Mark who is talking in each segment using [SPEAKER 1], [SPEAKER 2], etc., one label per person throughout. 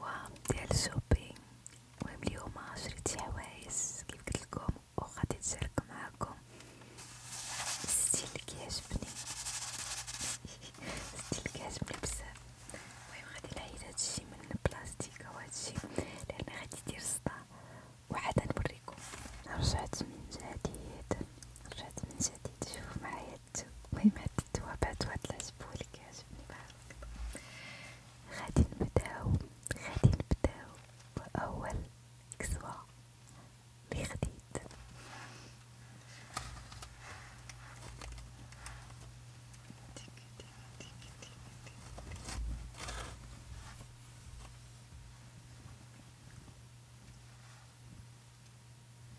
[SPEAKER 1] وهم ديال الشوبينغ المهم اليوم شريت حوايج كيف قلتلكم وخا تشارك معاكم الستيل كيعجبني الستيل كيعجبني بزاف المهم غادي نعيد هادشي من البلاستيك وهادشي لان غادي يدير صداع وعاد نوريكم رجعت من جديد رجعت من جديد شوفوا معايا ماتت وي ماتت وبعد واحد العجبولي كيعجبني بحال هكدا غادي نبداو غادي نبداو بأول كسوة لي خديت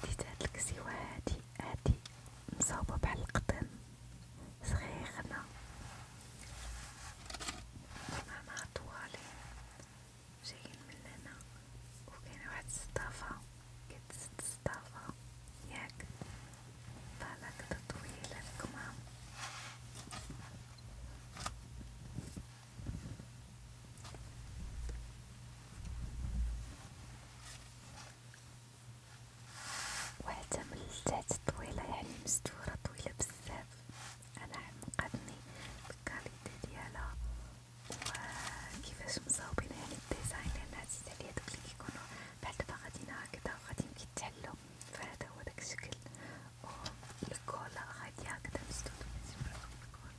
[SPEAKER 1] خديت هاد الكسيوة هادي هادي مصاوبة بحال القطن صغيغنا مع طوالي جايين من هنا وكاينة واحد الصدافة كتسد الصدافة ياك بحال هكدا طويلة الكمام وحتى من التحت طويلة يعني مستورة طويلة بزاف أنا عمقتني الكاليتي ديالها وكيفاش مصاوبين يعني الديزاين لأن عزيز عليا دوك لي كيكونو بحال دبا غاديين هكدا وغاديين كيتحلو فهدا هو داك الشكل و الكولا غادي هكدا مسدودة متبعش الكولا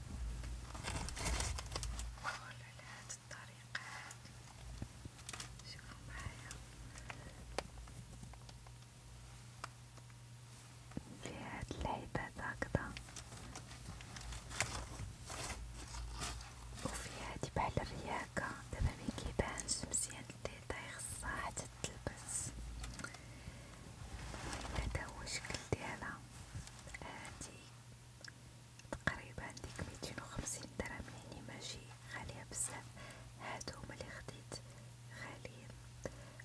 [SPEAKER 1] ولا لا نفس الطريقة عاد شوفوا معايا في هاد العيبات هكدا وفي هادي بحال الرياكة دابا مكيبانش مزيان الديتاي خصها حتى تلبس هدا هو الشكل ديالها هادي تقريبا ديك ميتين وخمسين درهم يعني ماشي غالية بزاف هادو هما لي خديت غاليين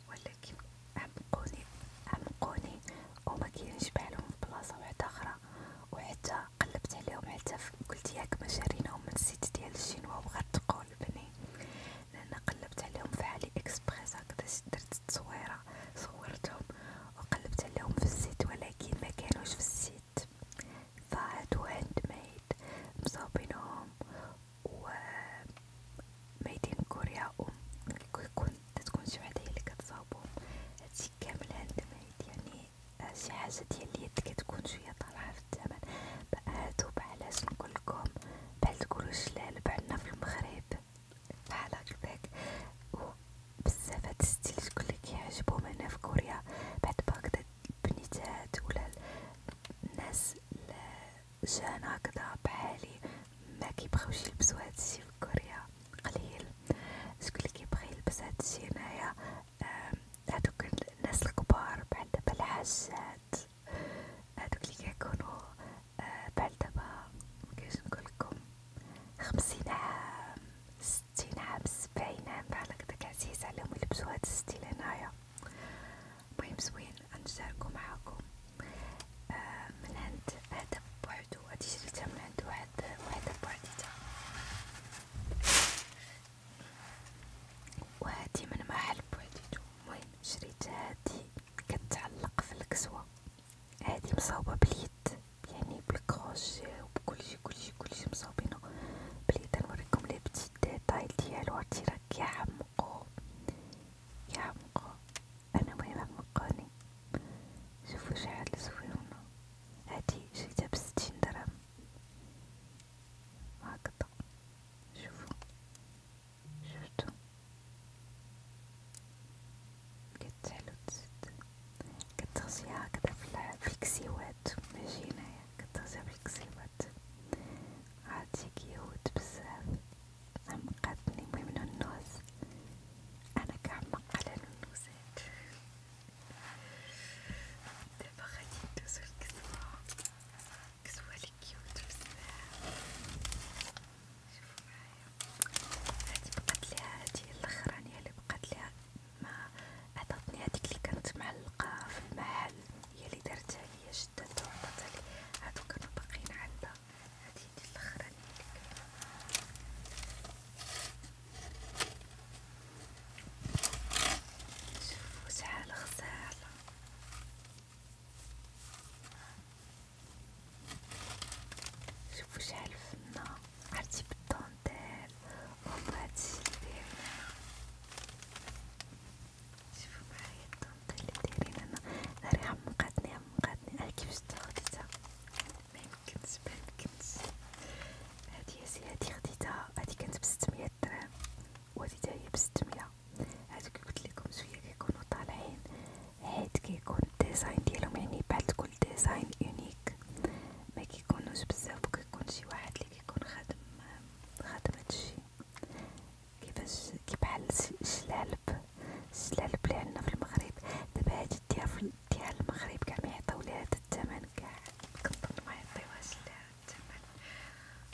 [SPEAKER 1] ولكن عمقوني عمقوني وما كاينش بحالهم في بلاصه وحده اخرى وحتى قلبت عليهم حتى قلت ياك ما شريناهم من السيت ديال الشينوا وغتقول بني لان قلبت عليهم في علي اكسبريس هكذا درت التصويره صورتهم وقلبت لهم في الزيت ولكن ما كانوش في الزيت فعادو هاند ميد مصاوبينهم و ميدين كورياهم كيكون تتكون شي وحدة هي لي كتصاوبهم هادشي كامل هاند ميد يعني شي حاجة ديال اليد كتكون شوية طالعة في الثمن بقادو بعلاش نقولكم بحال تقولو شلال بعنا في المغرب بحال هكداك بزاف هاد الستيل شكون لي كيعجبهم هنا في كوريا بعد باك البنيتات ولا الناس جان هكذا بحالي ما كيبغيوش يلبسوا هادشي في كوريا قليل شكون لي كيبغي يلبس هادشي هنايا هادوك الناس الكبار بحال دابا الحاجات هادوك لي كيكونوا آه، بحال دابا مكاينش نقولكم خمسين عام ستين عبس باينة بحال هكداك عزيز عليهم يلبسو هاد الستيل هنايا المهم زوين غنشاركو معاكم آه من عند هدا بوحدو هادي شريتها من عند واحد وحدة بوحديتها وهادي من محل بوحديتو المهم شريت هادي كتعلق في الكسوة هادي مصاوبة باليد يعني بالكروشي وبكلشي كلشي كلشي مصاوبينو باليد نوريكم لي بتي ديتايل ديالو عرفتي راه كيعمقو كيعمقو انا مهم عمقوني شوفو شحال زويونة هادي شريتها بستين درهم هكدا شوفو شفتو كانت حلوة جدا كنت تغطيها هكذا في البيكسيوات ماجينايا كنت تغطيها بيكسيوات عادي كيوت بزاف عمقتني المهم النوز أنا كعمق على النوزات دابا غادي ندوزو الكسوة كسوة لي كيوت بزاف شوفو معايا هادي بقات ليها هادي الاخرانيه اللي بقات ليها ما عطاتني هاديك اللي كانت معلقه في المحل هي اللي درتها ليا شداتها وعطاتها لي هادو كانوا باقيين عندها هادي هي الاخرانيه اللي كانت شوفوا شحال غزاله شوفوا شحال فنه عرفتي بالطونتيل و هادشي لديرنا شوفو معايا الطونتيل لي دايرين انا ناري عمقاتني عمقاتني اه كيفاش تاخديتها ميمكنش ميمكنش هادي هاسي هادي خديتها هادي كانت بستمية درهم و هادي تاهي بستمية هادو كي قلتليكم شوية كيكونو طالعين حيت كيكون الديزاين ديالهم يعني بحال تكون كل ديزاين يونيك ما كيكونوش بزاف وكيكون شي واحد اللي كيكون خدم خدم هادشي كيفاش كيبحال الشلالب الشلالب اللي عندنا في المغرب دابا هادي ديال ديال المغرب كاع ميعطيو ليها هاد الثمن كاع كنظن ميعطيوهاش ليها الثمن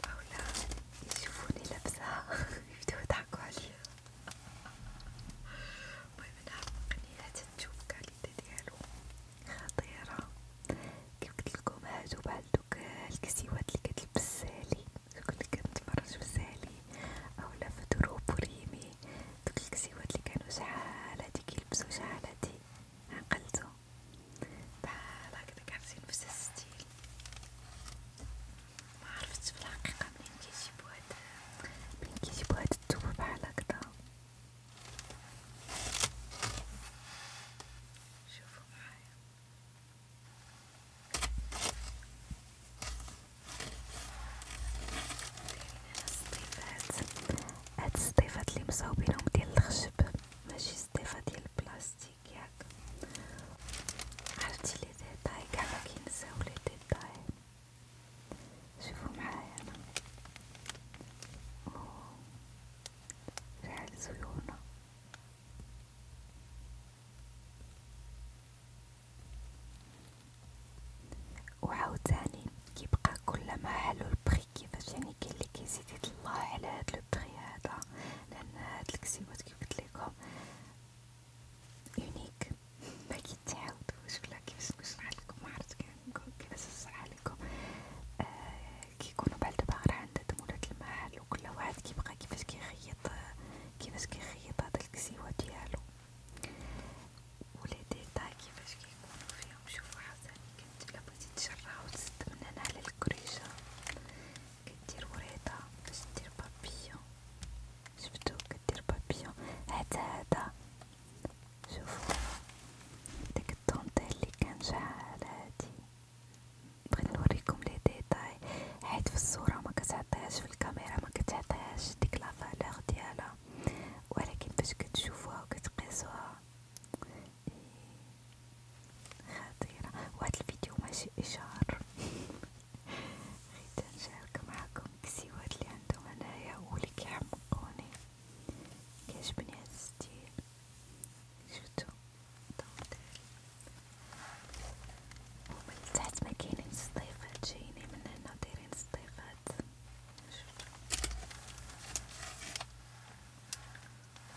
[SPEAKER 1] اولا يشوفوني لابسها يبداو يضحكو عليا المهم انا عقني هاد التوب كان الكواليتي ديالو خطيرة كيف قلتلكم هادو بحال دوك الكسيوات اللي كتلبس سالي دوك اللي كنتفرج في سالي اولا في دروب وريمي دوك الكسيوات اللي كانو شحال هادي كيلبسو شحال هادي عقلتو بحال هكدا كعرفتي نفس الستيل معرفتش في الحقيقة منين كيجيبو هاد منين كيجيبو هاد التوب بحال هكدا شوفوا معايا هاد السطيفات اللي مصاوبينهم ديال الخشب ماشي سطيفة ديال البلاستيك ياك عرفتي لي ديتاي كاع مكينساو لي ديتاي شوفوا معايا ريحة الزيونة وعاوتاني كيبقى كلما حلو البخي كيفاش يعني كاين لي كيزيد يطلع على هاد لو بخي هذا لان هاد الكسيوات كيف قلت لكم يونيك باكي تعاودوش ولا كيفاش نشرحلكم عرفت كيفاش نشرحلكم آه كيكونو بعد باغر عند تمولات المحل وكل واحد كيبقى كيفاش كيخيط كيفاش كيخيط هاد الكسيوة ديالو ولي ديتا كيفاش كيكونو فيهم شوفو حسني كنت إلا بغيتي تشرها وتسد من هنا على الكريشة كدير وريضة باش دير بابيون شفتو كدير بابيون حتى هدا شوفوا ديك الطونطيل اللي كان شحال هادي بغيت نوريكم لي ديتاي حيت في الصوره ما كتعطيهاش في الكاميرا ما كتعطيهاش ديك لا فالور ديالها ولكن باش كتشوفوها وكتقيسوها إيه، خطيره وهاد الفيديو ماشي اشهار غير تنشارك معكم الكسيوات اللي عندهم هنايا ولك يحمقوني كيعجبني هاد الستيل شفتو ومن تحت مكاينين صديفات جايين من هنا دايرين صديفات شفتو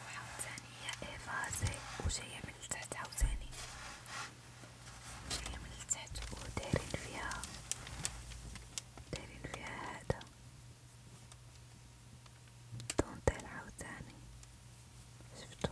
[SPEAKER 1] وعاوتاني هي ايفازي وجاية من التحت عاوتاني جاية من التحت ودايرين فيها دايرين فيها هذا دونتيل عاوتاني شفتو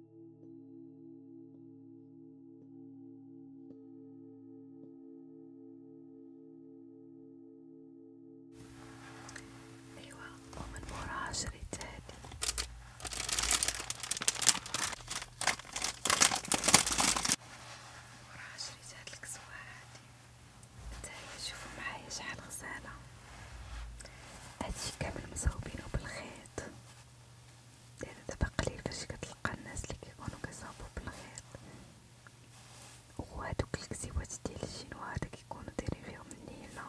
[SPEAKER 1] أيوة ومن ورا عشرة هادي من ورا عشرة هاد الكسوة هادي نتايا شوفو معايا شحال غزالة هادشي كامل مصاوبينو بالخيط لأن يعني دابا قليل فاش كتلقى الناس اللي كيكونو كيصاوبو بالخيط وهادوك الكسيوات ديال الشينوا هادا كيكونو دايرين فيهم النيلة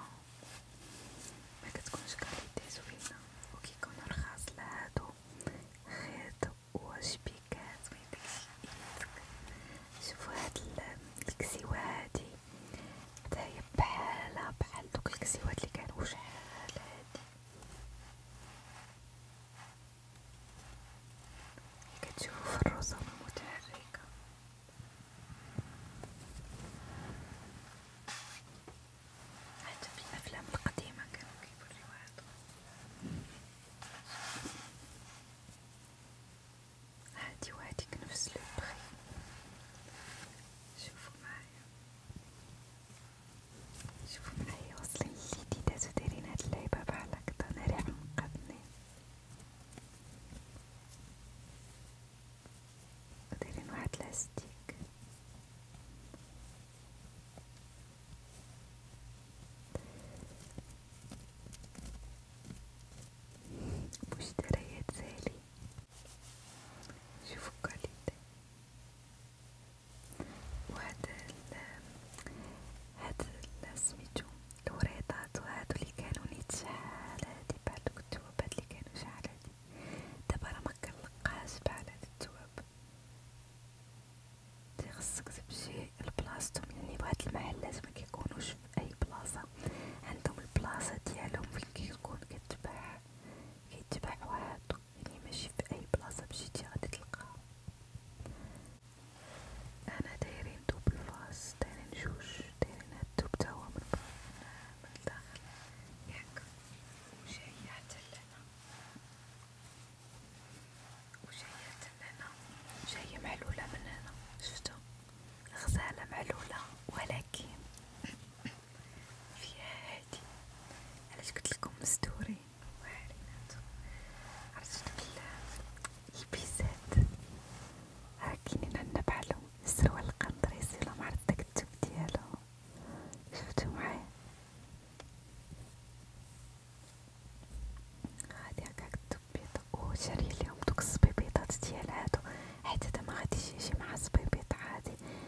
[SPEAKER 1] مكتكونش كاليتي زوينة وكيكونو رخاص لهادو خيط وشبيكات ميديكش ايدك شوفو هاد الكسيوة هادي حتى هي بحالها بحال دوك الكسيوات اللي كانو شحال هادي كتشوف الرسم متحركة حتى في الأفلام القديمة كانوا كيوريوها هادي وهاديك نفس لو بخي شوفوا معايا شوف معايا وصلي جديدة تديرين هاد اللعبة بحال هكدا ناري حمقتني دايرين واحد لاستيك مشتريات زالي شوفوا كاليتي وهذا هاد سميتو الوريطات وهادو لي كانو نيت شحال هادي بحال دوك التوابات لي كانو شحال هادي دابا راه مكنلقاهاش بحال هاد التواب تي خصك تمشي لبلاصتهم يعني بهاد المحلات مكيكونوش في اي بلاصة عندهم البلاصة ديالهم فين كيكون كتباع كيتباع واحد صدق يعني ماشي في اي بلاصة مشيتي غادي تلقاها انا دايرين دوب الفاص دايرين جوج دايرين هاد الدوب تاهو من من الداخل ياك وجاية حتى لهنا وجاية حتى لهنا جاية معلولة من هنا شفتو غزالة معلولة ولكن فيها هادي علاش قلتلكم مستورين وعاريناتو عرفتو دوك البيسات راه كاينين عندنا بحالهم السروال القنطريسي ولا معرض داك التوب ديالو شفتو معايا غادي هكاك التوب بيض أو شارية ليهم دوك الصبيبيضات ديال هادو حيت هدا مغاديش يجي مع صبيبيط عادي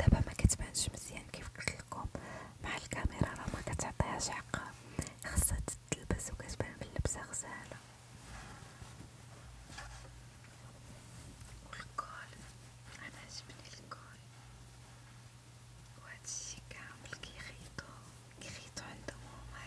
[SPEAKER 1] دابا ما كتبانش مزيان كيف قلت لكم مع الكاميرا راه ما كتعطيهاش حقها خاصها تتلبس وكتبان باللبسه غزاله والكول انا عجبني الكول وهادشي كامل كيخيطو كيخيطو عندهم هما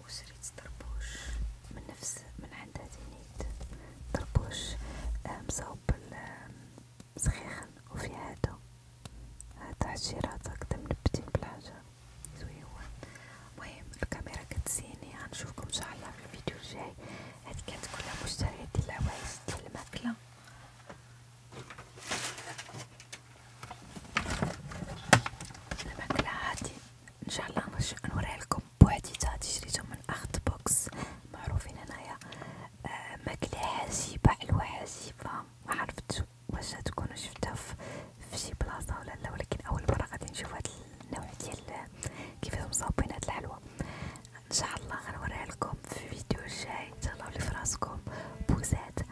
[SPEAKER 1] وشريت طربوش من نفس من عند زينيد طربوش آه، مصاوب صخيخن آه، وفي هادو هاد حشيرات هكدا منبتين بالحجر زويون المهم الكاميرا كتزيني غنشوفكم ان شاء الله في الفيديو الجاي هاد كانت كلها مشتريات ديال العوايس ديال الماكله الماكله هادي ان شاء الله نوريها لكم بوحديتها شريتهم من اخت بوكس معروفين هنايا آه ماكله حسيبه حلوه حسيبه ما عرفتش واش تكون شفتها في شي بلاصه ولا لا ولكن اول مره غادي نشوف هاد النوع ديال كيفاش مصاوبين هاد الحلوه ان شاء الله غنوريها لكم في فيديو جاي تهلاو لي فراسكم بوزات